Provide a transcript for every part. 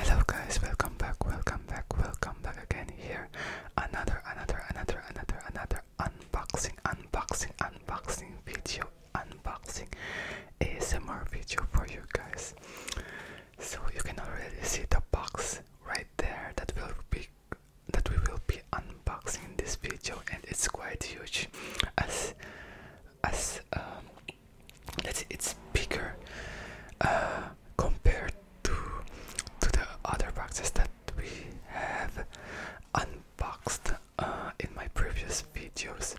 Hello guys, welcome back, welcome back, welcome back again here. Another another another another another unboxing unboxing unboxing video unboxing ASMR video for you guys so you can already see the box right there that will be that we will be unboxing in this video and it's quite huge as as um let's see, it's bigger uh, compared to to the other boxes that we have unboxed uh, in my previous videos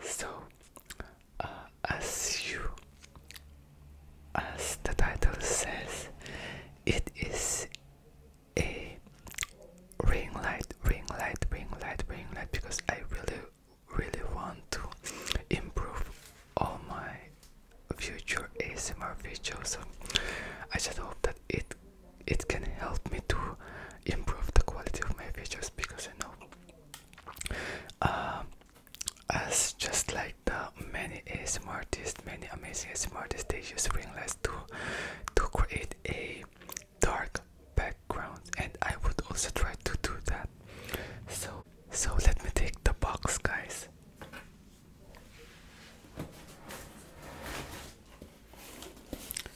so as you as the title says it is a ring light ring light ring light ring light because i really really want to improve all my future asmr videos so i just hope that it it can help me to improve the quality of my videos because i know uh, as just like the many ASMR artists, many amazing ASMR artists, they use ringless to to create a dark background, and I would also try to do that. So, so let me take the box, guys.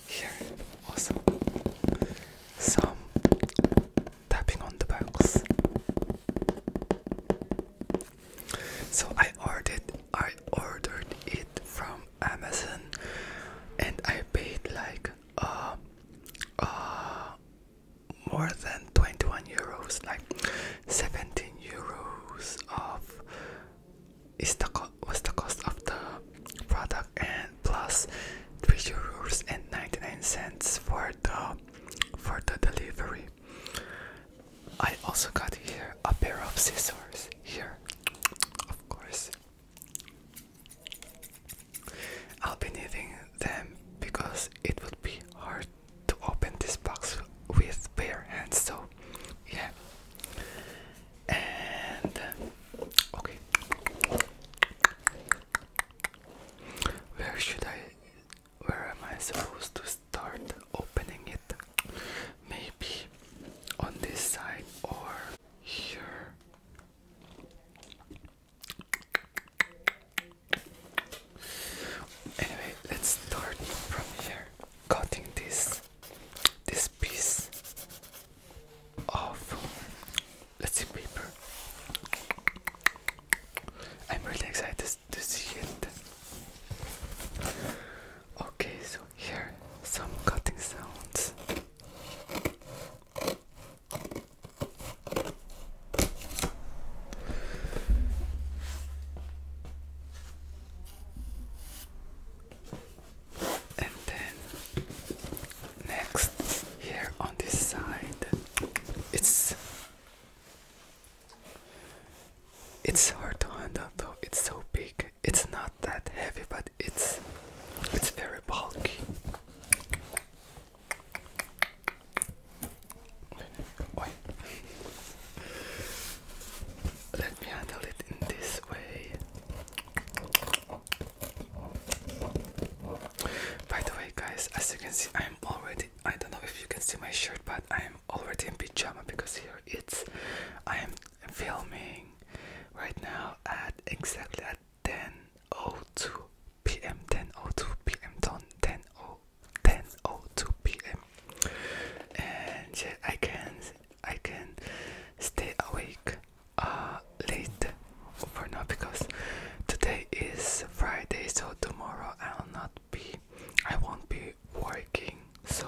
Here, also some tapping on the box. So I ordered I ordered it from Amazon and I paid like uh uh more than 21 euros like 17 euros of is the was the cost of the product and plus three euros and 99 cents for the for the delivery. I also got here a pair of scissors here, of course. I'll be needing them because it would be hard to open this box with bare hands, so yeah. And okay, where should I where am I supposed to start opening it? Maybe on this side or here. Anyway, let's start from here, cutting this this piece of let's see paper. I'm really excited to see it. Okay, so here some cutting sounds. And then next, here on this side, it's it's hard to handle though. It's so big. It's not that heavy, but it's it's very bulky. Let me handle it in this way. By the way, guys, as you can see, I'm already. I don't know if you can see my shirt, but I'm already in pajama because here it's. I am filming right now at exactly at 10:02 p.m. 10:02 p.m. 10:02 10 p.m. Oh oh, and yeah, I can I can stay awake uh, late for now because today is Friday, so tomorrow I'll not be, I won't be working. So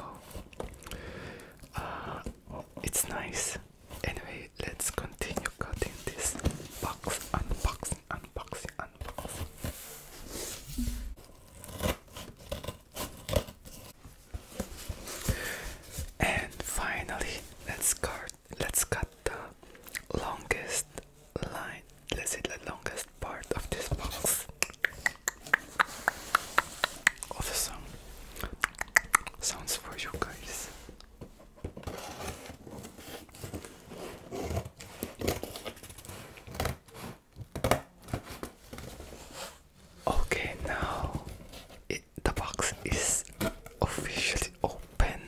uh, it's nice. Anyway, let's continue cutting this box, unboxing, unboxing, unboxing. And finally, let's cut. Let's cut the longest line. Let's see the longest part of this box. Also some sounds for you guys. Okay, now the box is officially open.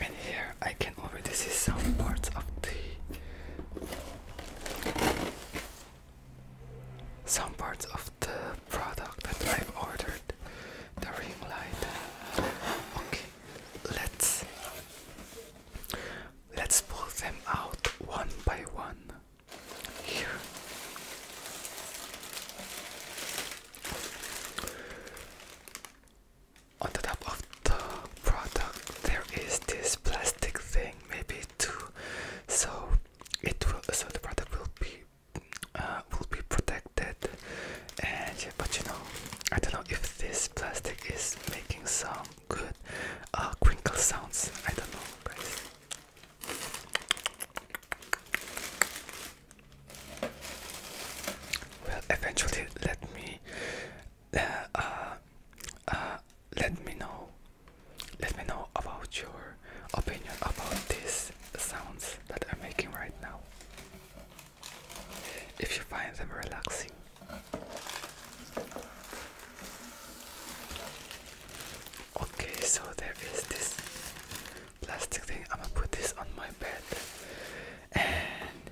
And here I can already see some parts of the some parts of the product that I've ordered. The ring light. Okay, let's let's pull them out one by one. Here. On the top of the product, there is this plastic thing, maybe two, so it will. So the product will be uh, will be protected, and but you know, I don't know if this plastic is making some good uh, crinkle sounds. I don't know, guys will eventually let me uh, uh, uh, let me know let me know about your opinion about these sounds that I'm making right now if you find them relaxing okay so there is this plastic thing. I'm gonna put this on my bed. And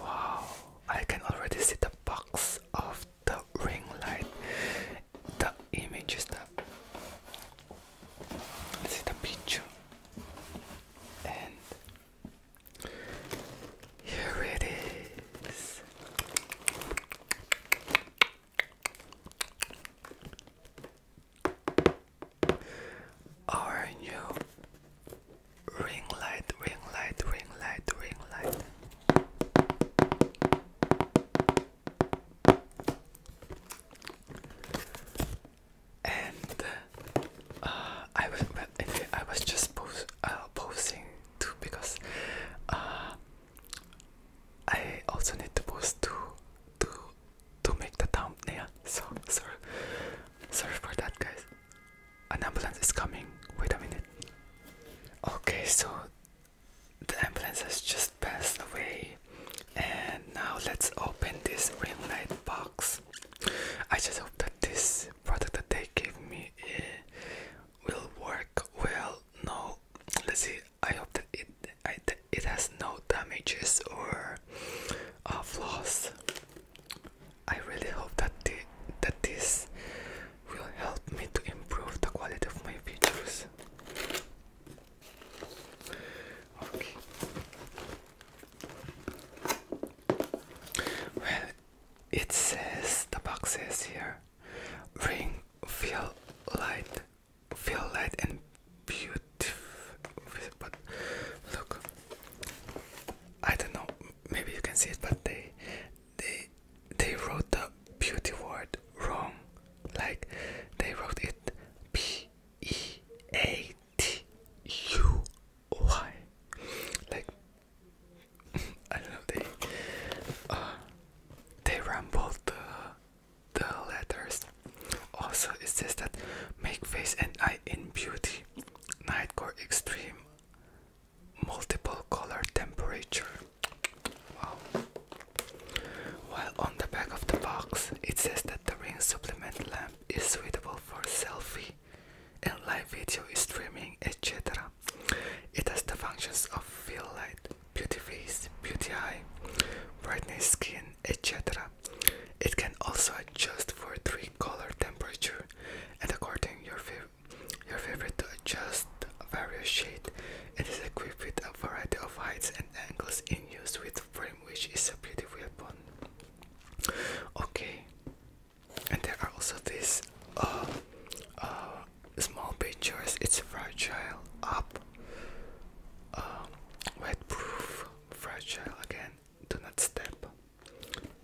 wow, I can already see the box of the ring light. The image is that. Let's see the picture. And here it is our new ring light, ring light, ring light, ring light. And uh, I was well, anyway, I was just pos uh, posing too because uh, I also need to post two two to make the thumbnail. So sorry, sorry for that, guys. An ambulance is coming. Wait a minute. Okay, so the ambulance has just passed away, and now let's open this ring light box. I just hope that this product that they gave me eh, will work well. No, let's see. I hope that it it has no damages or uh, flaws. I really hope that the, that this will help me to improve the quality of my videos. Okay. Well, it says the box says here, ring feel light feel light and beautiful. But look, I don't know. Maybe you can see it, but they they they wrote the beauty word wrong. Like they wrote it P E A T U Y. Like I don't know. They uh, they rambled the uh, the letters. Also, it says that make face and eye in beauty, night core extreme, multiple color temperature. While on the back of the box, it says that the ring supplement lamp is suitable for selfie and live video streaming, etc. It has the functions of fill light, beauty face, beauty eye, brightness skin, etc. It can also adjust for three color temperature and according your your favorite to adjust various shade. It is equipped with a variety of heights and angles in use with frame which is a beautiful weapon. Okay. And there are also these uh, uh, small pictures. It's fragile, up, um, uh, wetproof, fragile again. Do not step.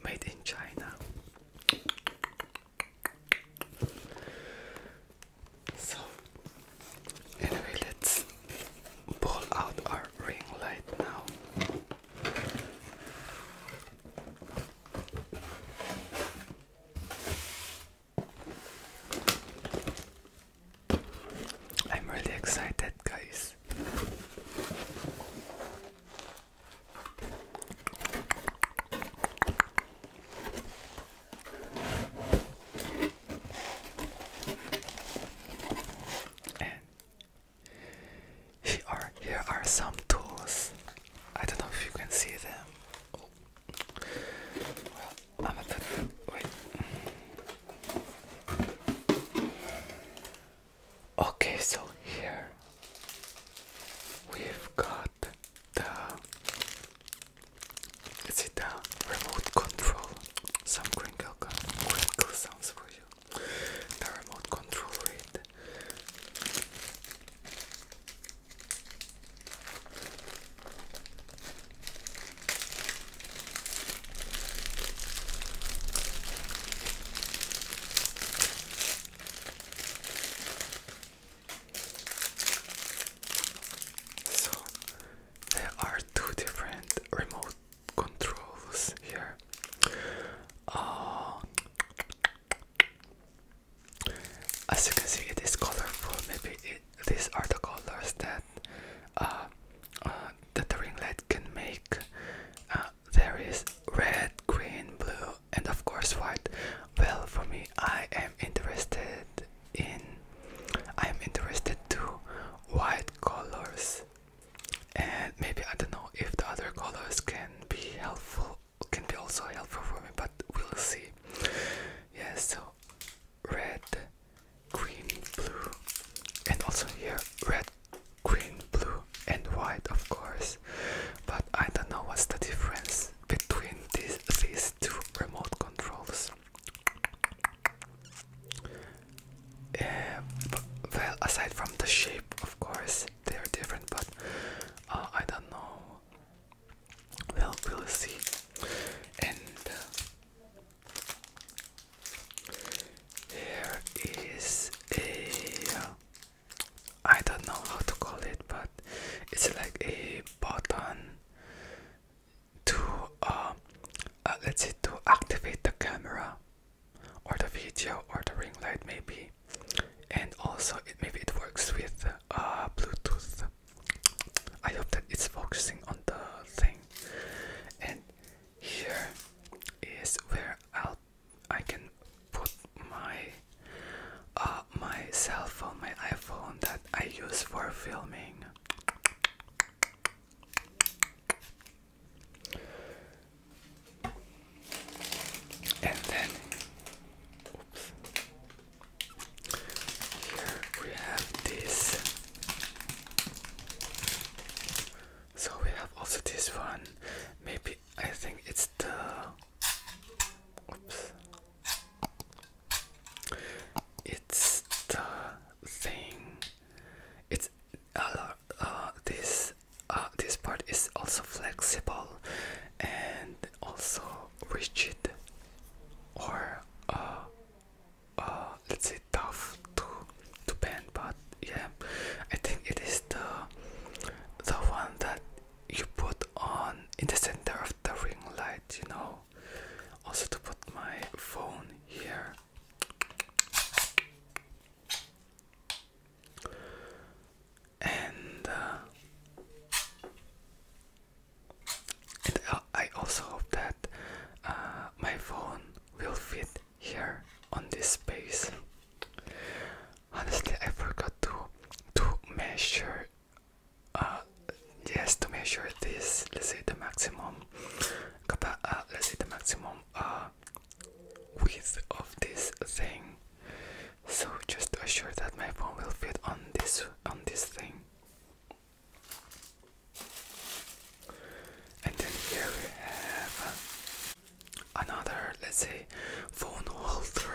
Made in China. So, anyway, let's pull out our ring light now. I'm really excited, guys. And here are, here are some tools. I don't know if you can see them. I'm gonna put. Okay, so here we've got the. Is it the remote control? Some crinkle, crinkle sounds for you. The remote control read. So there are two different remote controls here. Uh, as you can see, it is colorful. Maybe it, these are the colors that uh, uh, that the ringlet can make. Uh, there is red, green, blue, and of course white. Well, for me, I am interested in. I am interested too. white colors, and maybe I don't know if the other colors can be helpful. Can be also helpful for me, but we'll see. Yes, so red, green, blue, and also here red, green, blue, and white, of course. But I don't know what's the difference between these, two remote controls. Uh, well, aside from the shape, of course, they are different, but uh, I don't know. Well, we'll see. And uh, here is a I don't know how to call it, but it's like a button to um, uh, let's say to activate the camera or the video or the ring light maybe, and also maybe it works with uh, Bluetooth. I hope that it's focusing on the thing, and here is where I'll I can put my uh, my cell phone, my iPhone that I use for filming. And then here we have this so we have also this one. Maybe I think it's the. Oops. It's the thing. It's uh, uh, this uh, this part is also flexible and also rigid or uh, uh, let's say tough to to bend, but yeah, I think it is the the one that you put on in the center of the ring light, you know. Also to put my phone here. And, uh, I also hope that uh, my phone will fit here on this space. Honestly, I forgot to to measure. Uh, yes, to measure this. Let's say the maximum. Uh, let's say the maximum uh, width of this thing. So just to assure that my phone will fit on this on this thing. And then here we have another, let's say, phone holder.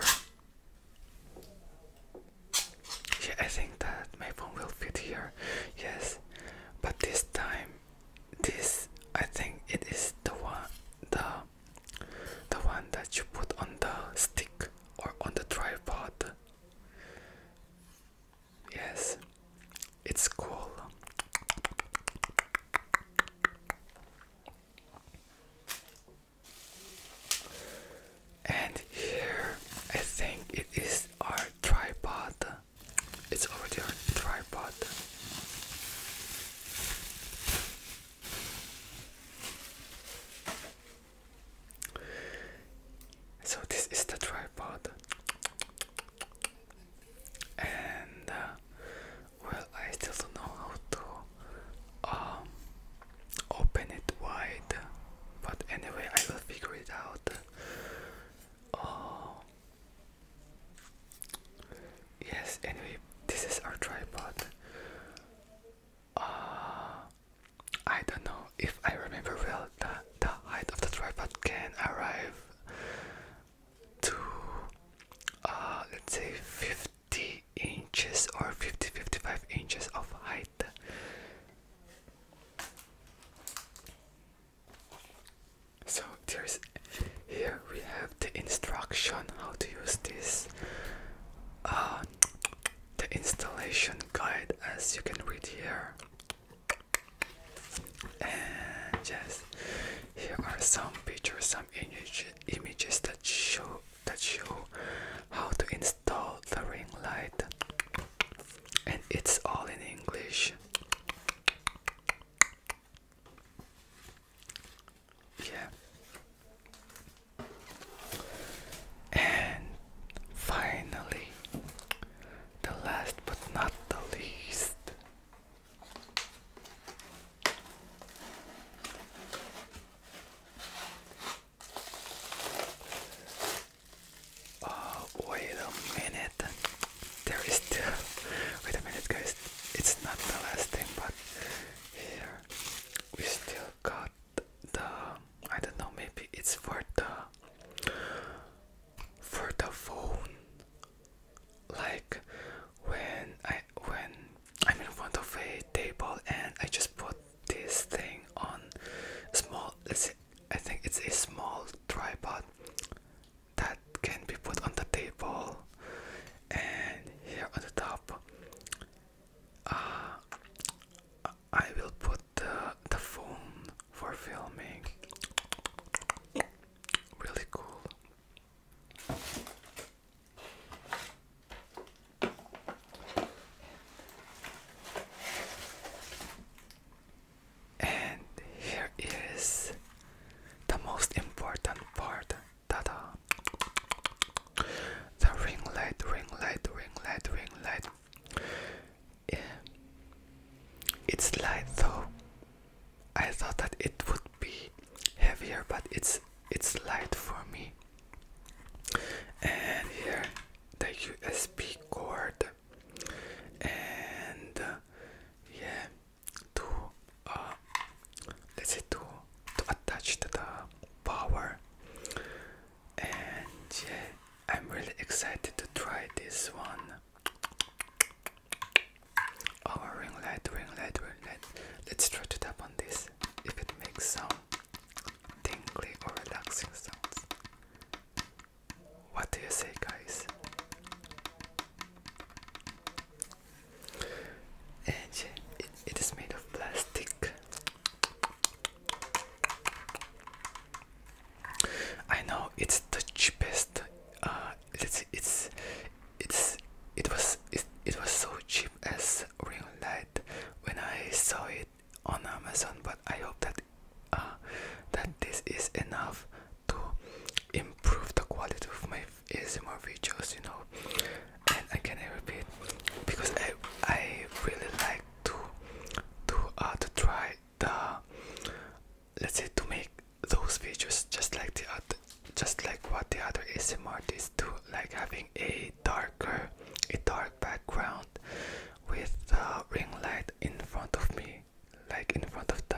Yeah, I think that my phone will fit here. Yes, but this time, this I think it is the one, the the one that you put on the stick or on the tripod. Yes, it's cool. And here I think it is our tripod. It's already our tripod. So, this is the tripod and uh, well I still don't know how to um, open it wide but anyway I will figure it out oh yes anyway this is our tripod uh, I don't know if I remember well the, the height of the tripod can arrive to uh, let's say 50 inches or 50 55 inches of height. So there's here we have the instruction how to use this uh, the installation guide as you can read here and yes, here are some pictures, some image, images that show that show how to install the ring light, and it's all in English. Yeah. And finally, the last but not the least, Oh, wait a minute. There is still. Wait a minute, guys. It's not the last thing, but here we still got the. I don't know, maybe it's for the. For the phone like when I when I'm in front of a table and I just put this thing on small let's I think it's a small tripod that can be put on the table and here on the top uh, I will put the, the phone for filming really cool. And here is the most important part. Tada! The ring light, ring light, ring light, ring light. It's light though, I thought that it would be heavier but it's it's light for me and here the USB cord and uh, yeah to uh, let's see, to, to attach to the power and yeah I'm really excited to try this one Oh, ring light, ring light, ring light. Let's try to tap on this if it makes some tingly or relaxing sounds. What do you say, guys? And it is made of plastic. I know it's the cheapest uh, it's it's it's it was it, it was so cheap as real light when I saw it on Amazon but I hope that ah, that this is enough to improve the quality of my ASMR videos you know and I can repeat because I I really like to to uh to try the let's say to make those videos just like the other just like what the other ASMR artists do like having a darker a dark background with the ring light in front of me like in front of the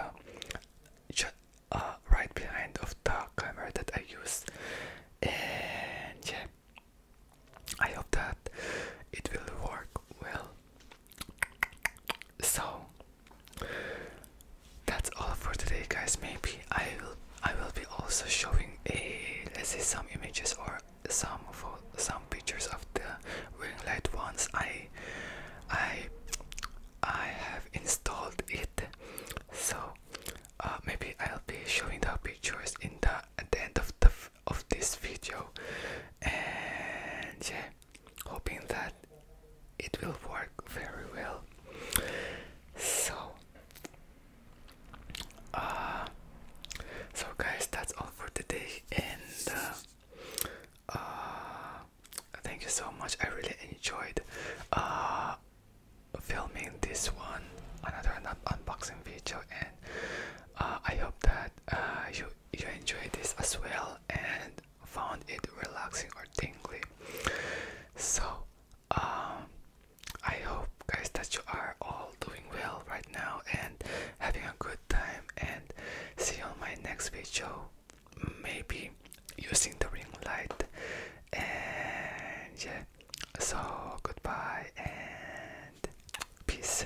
uh, right behind of the camera that I use and yeah I hope that it will work well so that's all for today, guys. Maybe I will I will be also showing a let's say some images or some some pictures of the ring light once I I I have installed it. So uh, maybe I'll be showing the pictures in the at the end of the of this video. And hoping that it will work very well. So, uh, so guys, that's all for today, and uh, uh, thank you so much. I really enjoyed filming this one, another unboxing video, and I hope that you you enjoy this as well. And found it relaxing or tingling. So, um, I hope guys that you are all doing well right now and having a good time. And see you on my next video, maybe using the ring light. And yeah, so goodbye and peace.